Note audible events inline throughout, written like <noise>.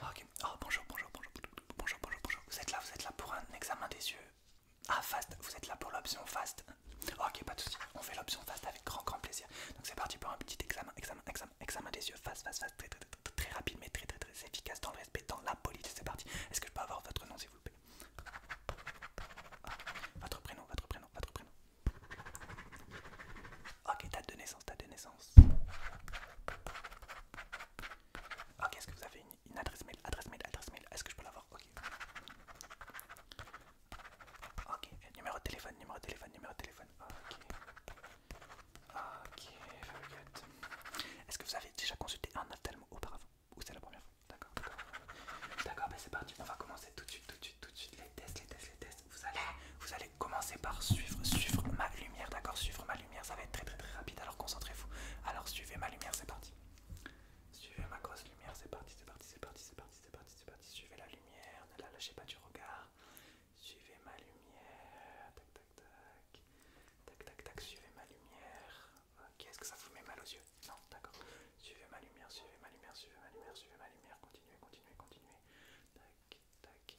Ah, ok, ah, bonjour, bonjour, bonjour, bonjour, bonjour, bonjour. Vous êtes là, vous êtes là pour un examen des yeux. Ah, fast, vous êtes là pour l'option fast. Ah, ok, pas de soucis, on fait l'option fast avec grand, grand plaisir. Donc c'est parti pour un petit examen, examen, examen, examen des yeux, fast, fast, fast, très, très, très, rapide, mais très, très, très efficace dans le respect, dans la police C'est parti. Est-ce que je peux avoir votre nom, s'il vous plaît Votre prénom, votre prénom, votre prénom. Ok, date de naissance, date de naissance. Ok, est-ce que vous avez une, adresse mail Adresse mail, adresse mail, est-ce que je peux l'avoir Ok. Ok, numéro de téléphone, numéro de téléphone, numéro de téléphone. Ok. Ok, very good. Est-ce que vous avez déjà consulté un ophtalmo auparavant Ou c'est la première fois D'accord, d'accord. D'accord, ben c'est parti, on va commencer tout de suite, tout de suite, tout de suite. Les tests, les tests, les tests vous allez, vous allez commencer par suivre, suivre ma lumière, d'accord Suivre ma lumière, ça va être très très très rapide, alors concentrez-vous. Alors suivez ma lumière, c'est parti. Suivez ma grosse lumière, c'est parti, c'est parti, c'est parti, c'est parti, c'est parti, c'est parti. Suivez la lumière, ne la lâchez pas du regard. Suivez ma lumière, tac tac tac, tac tac suivez ma lumière. Ok, ce que ça vous met mal aux yeux Non, d'accord. Suivez ma lumière, suivez ma lumière, suivez ma lumière, suivez ma lumière, continuez, continuez, continuez. Tac, tac,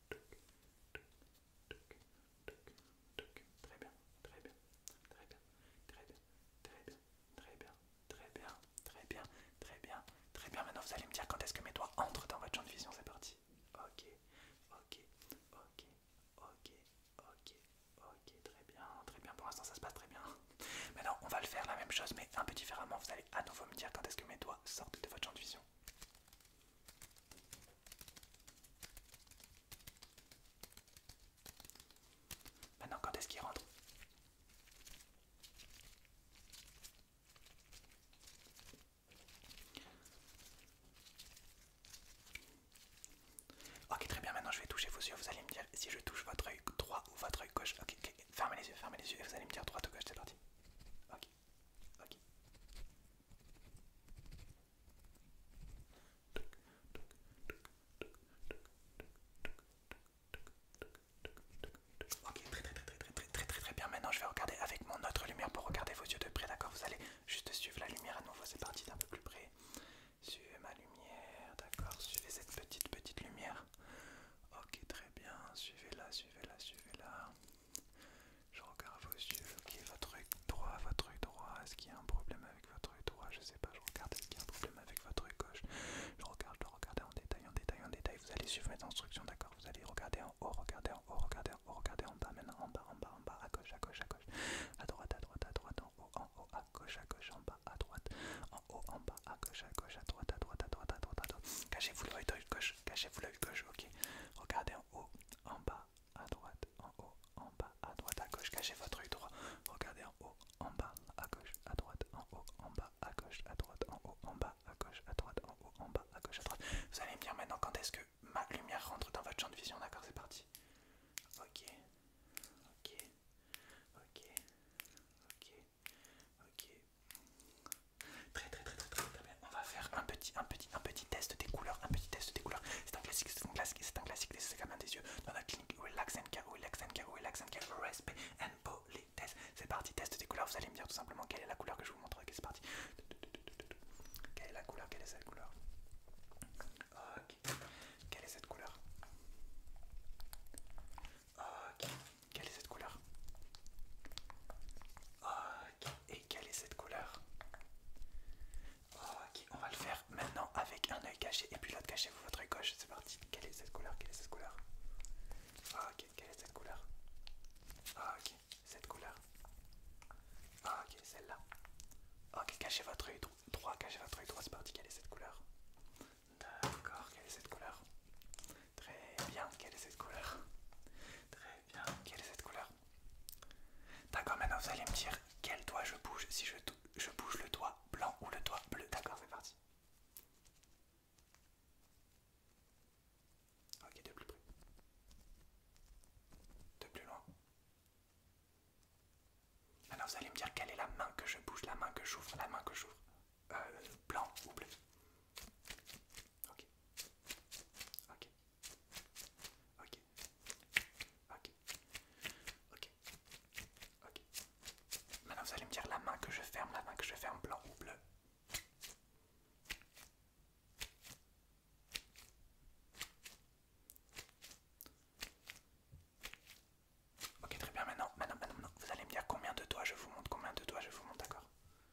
Très bien, très bien, très bien, très bien, très bien, très bien, très bien, très bien, très bien, très bien. Maintenant, vous allez me dire quand est-ce que mes doigts entrent dans votre champ de vision, c'est parti. Ok, ok, ok, ok, ok, ok, très bien, très bien. Pour l'instant, ça se passe très bien. Maintenant, on va le faire la même chose, mais un peu différemment. Vous allez à nouveau me dire quand est-ce que mes doigts sortent de votre champ de vision. Maintenant, quand est-ce qu'il rentre Ok, très bien. Maintenant, je vais toucher vos yeux. Vous allez me dire si je touche votre œil droit ou votre œil gauche. Ok, fermez les yeux, fermez les yeux et vous allez me dire droite ou gauche. C'est parti. Ok. Ok. Ok, très très très très très très très très bien. Maintenant, je vais regarder avec mon autre lumière pour regarder vos yeux de près, d'accord Vous allez juste suivre la lumière à nouveau. C'est parti d'un peu plus près. Suivez ma lumière, d'accord Suivez cette petite petite lumière. Ok, très bien. Suivez-la, suivez-la, suivez-la. Je regarde vos yeux, qui est votre œil droit, votre œil droit, est-ce qu'il y a un problème avec votre œil droit, je sais pas, je regarde, est-ce qu'il y a un problème avec votre œil gauche, je regarde, je regarde en détail, en détail, en détail, vous allez suivre les instructions, d'accord, vous allez regarder en haut, regarder en haut, regarder en haut, regarder en bas, en bas, en bas, en bas, à gauche, à gauche, à gauche, à droite, à droite, à droite, en haut, en haut, à gauche, à gauche, en bas, à droite, en haut, en bas, à gauche, à gauche, à droite, à droite, à droite, à droite, à droite, cachez-vous l'œil gauche, cachez-vous gauche, ok. Regardez en haut, en bas, à droite, en haut, en bas, à droite, à gauche. Cachez votre œil droit. Regardez en haut, en bas, à gauche, à droite, en haut, en bas, à gauche, à droite, en haut, en bas, à gauche, à droite, en haut, en bas, à gauche, à droite. Vous allez me dire maintenant quand est-ce que ma lumière rentre dans votre champ de vision, d'accord C'est parti. Ok, ok, ok, ok, Ok. Très, très très très très bien. On va faire un petit un petit un petit test des couleurs, un petit test des couleurs. C'est un classique, c'est un classique, c'est un classique des examens des yeux dans la clinique Relax and Care, Relax and Care, Relax and Care, respect and politesse. C'est parti, test des couleurs. Vous allez me dire tout simplement quelle est la couleur que je vous montre. Okay, c'est parti. Quelle est la couleur Quelle est cette couleur Ok. Quelle est cette couleur Ok. Quelle est cette couleur Ok, et quelle est cette couleur Ok, on va le faire maintenant avec un œil caché et puis l'autre cachez-vous votre œil gauche, c'est parti. Quelle est cette couleur Quelle est cette couleur Ok, quelle est cette couleur Ok, cette couleur. Ok, celle-là. Ok, cachez votre œil droit, cachez votre œil droit, c'est parti. Quelle est cette couleur D'accord, quelle est cette couleur Très bien, quelle est cette couleur Très bien, quelle est cette couleur D'accord, maintenant vous allez me dire quel doigt je bouge, si je, bouge le doigt blanc ou le doigt bleu. D'accord, c'est parti. Ok, de plus près. De plus loin. Maintenant vous allez me dire quelle est la main que je bouge, la main que j'ouvre, la main que j'ouvre. Euh, blanc ou bleu Ok. Ok. Ok. Ok. Ok. Ok. Maintenant vous allez me dire la main que je ferme, la main que je ferme, blanc ou bleu. Ok très bien maintenant, maintenant, maintenant, vous allez me dire combien de doigts je vous montre, combien de doigts je vous montre, d'accord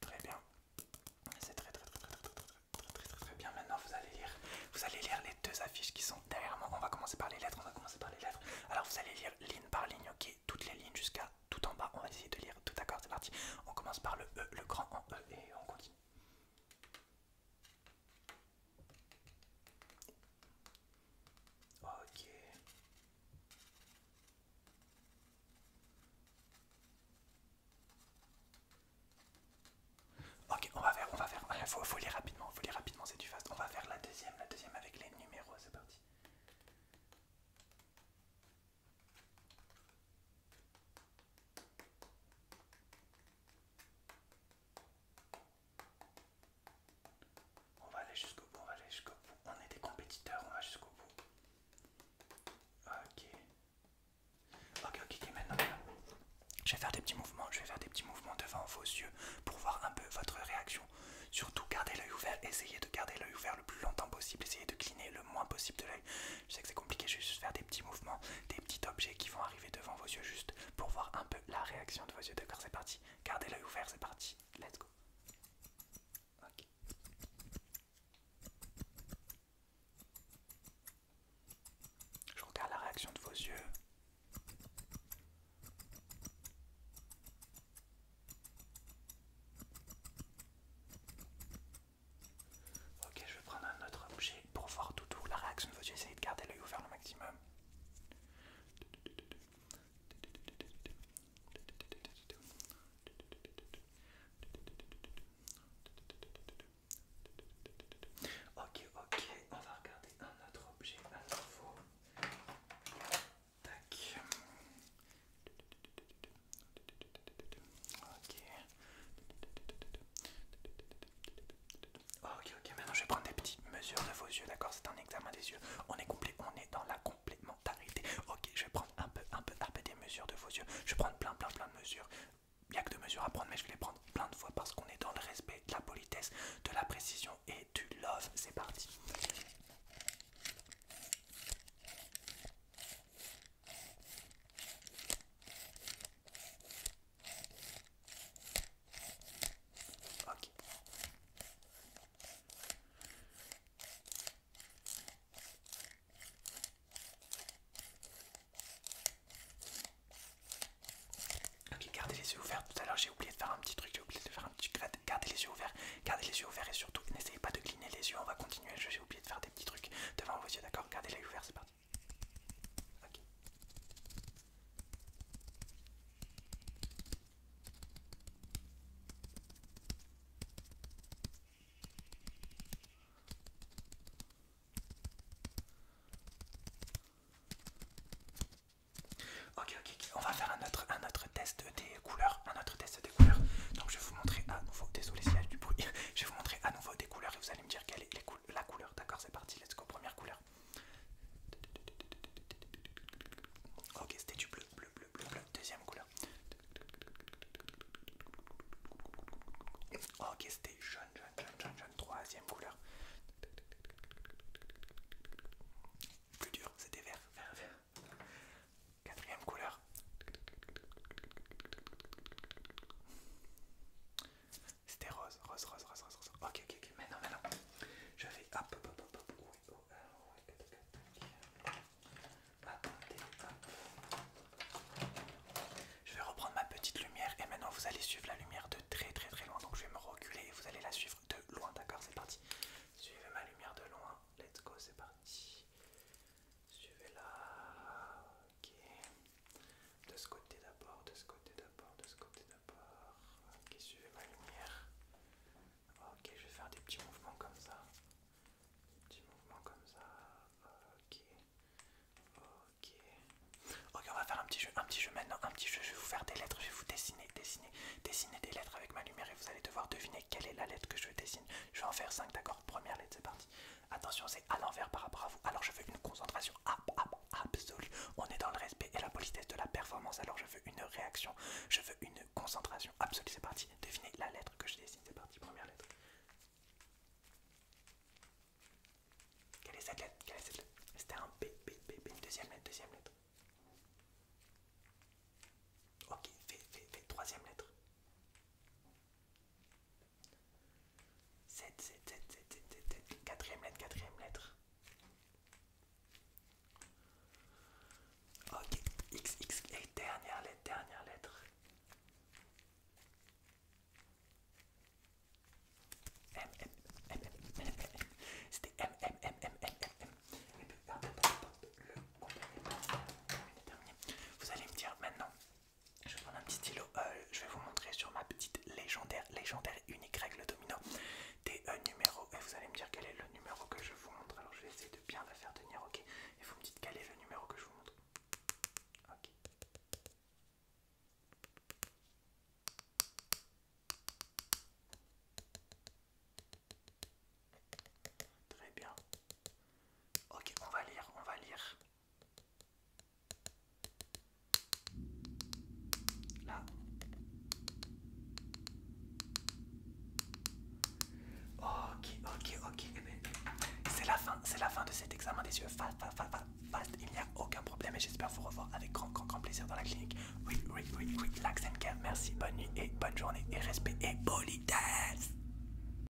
Très bien. C'est très très très très très très très très bien. Maintenant vous allez lire. Vous allez lire les deux affiches qui sont derrière moi. On va commencer par les lettres. On va commencer par les lettres. Alors vous allez lire ligne par ligne, ok Toutes les lignes jusqu'à tout en bas. On va essayer de lire tout d'accord, c'est parti. On commence par le E, le grand en E et on continue. Ok. Ok, on va faire, on va faire. Il faut, faut rapidement, faut rapidement, c'est du fast. On va faire la deuxième, la deuxième avec les numéros, c'est parti. On va aller jusqu'au bout, on va aller jusqu'au bout. On est des compétiteurs, on va jusqu'au bout. Ok. Ok, ok, ok, maintenant je vais faire des petits mouvements, je vais faire des petits mouvements devant vos yeux pour voir un peu votre réaction. Surtout gardez l'œil ouvert, essayez de garder l'œil ouvert le plus longtemps possible, essayez de cligner le moins possible de l'œil. Je sais que c'est compliqué, je vais juste faire des petits mouvements, des petits objets qui vont arriver devant vos yeux juste pour voir un peu la réaction de vos yeux. D'accord, c'est parti. Gardez l'œil ouvert, c'est parti. Let's go. OK. Je regarde la réaction de vos yeux. Ok, je vais prendre un autre objet pour voir tout la réaction de que essayer de garder l'œil ouvert le maximum. Ok, ok, on va regarder un autre objet à Tac. Ok. Ok, maintenant je vais prendre des petites mesures de vos yeux, d'accord C'est un examen des yeux. On est complet, on est dans la complémentarité. Ok, je vais prendre un peu, un peu, un peu des mesures de vos yeux. Je vais prendre plein, plein, plein de mesures. Il n'y a que deux mesures à prendre, mais je vais les prendre plein de fois parce qu'on est dans le respect, de la politesse, de la précision et du love. C'est parti. Ok. Ok, gardez les yeux ouverts. Tout à l'heure, j'ai oublié de faire un petit truc. J'ai oublié de faire un petit Gardez les yeux ouverts. Gardez les yeux ouverts et surtout, n'essayez pas de cligner les yeux. On va continuer. J'ai oublié de faire des petits trucs devant vos yeux, d'accord Gardez les yeux ouverts, c'est parti. Ok. Ok, on va faire un autre, un autre test des couleurs, un autre test des couleurs. Donc je vais vous montrer à nouveau, désolé s'il du bruit, <laughs> je vais vous montrer à nouveau couleurs et vous allez me dire quelle est la couleur. D'accord, c'est parti, let's go, première couleur. Ok, c'était du bleu, bleu, bleu, bleu, bleu. Deuxième couleur. Ok, c'était jaune, jaune, jaune, jaune, jaune. Troisième couleur. Plus dur, c'était vert, vert, vert. Quatrième couleur. C'était rose, rose, rose, rose, rose, rose. Ok, ok, ok. Maintenant, Je vais hop, hop, hop, Je vais reprendre ma petite lumière et maintenant vous allez suivre la lumière de très très très loin. Donc je vais me reculer et vous allez la suivre de loin, d'accord C'est parti. Suivez ma lumière de loin. Let's go, c'est parti. Suivez-la. Ok. De ce côté d'abord, de ce côté d'abord, de ce côté d'abord. Ok, suivez ma lumière. Ok, je vais faire des petits mouvements comme ça. Des petits mouvements comme ça. Ok. Ok. Ok, on va faire un petit jeu, un petit jeu maintenant, un petit jeu. Je vais vous faire des lettres, je vais vous dessiner, dessiner, dessiner des lettres avec ma lumière et vous allez devoir deviner quelle est la lettre que je dessine. Je vais en faire 5, d'accord Première lettre, c'est parti. Attention, c'est à l'envers par rapport à vous. Alors je veux une concentration absolue. On est dans le respect et la politesse de la performance. Alors je veux une réaction. Je veux une concentration absolue. C'est parti. Devinez la lettre que je dessine. C'est parti. Première lettre. Quelle est cette lettre C'était un B, B, Deuxième lettre, deuxième lettre. Ok, fais, fais, Troisième lettre. 7, 7, 7, 7, 4 7, lettre, 4 lettre, lettre. Ok, X, X, et dernière lettre, dernière lettre. M, M, M, M, C'était M, M, M, M, M, M, M. Et puis, le complément Vous allez me dire maintenant, je vais prendre un petit stylo, euh, je vais vous montrer sur ma petite légendaire, légendaire unique règle domino des numéros et vous allez me dire quel est le numéro que je vous montre. Alors je vais essayer de bien la faire tenir, ok Et vous me dites quel est le numéro que je vous montre. Ok. Très bien. Ok, on va lire, on va lire. Ok, ok, ok. Eh ben, eh ben, c'est la fin, c'est la fin de cet examen des yeux. Fast, Il n'y a aucun problème et j'espère vous revoir avec grand, grand, grand plaisir dans la clinique. Oui, oui, oui, oui. Lax Merci, bonne nuit et bonne journée et respect et politesse.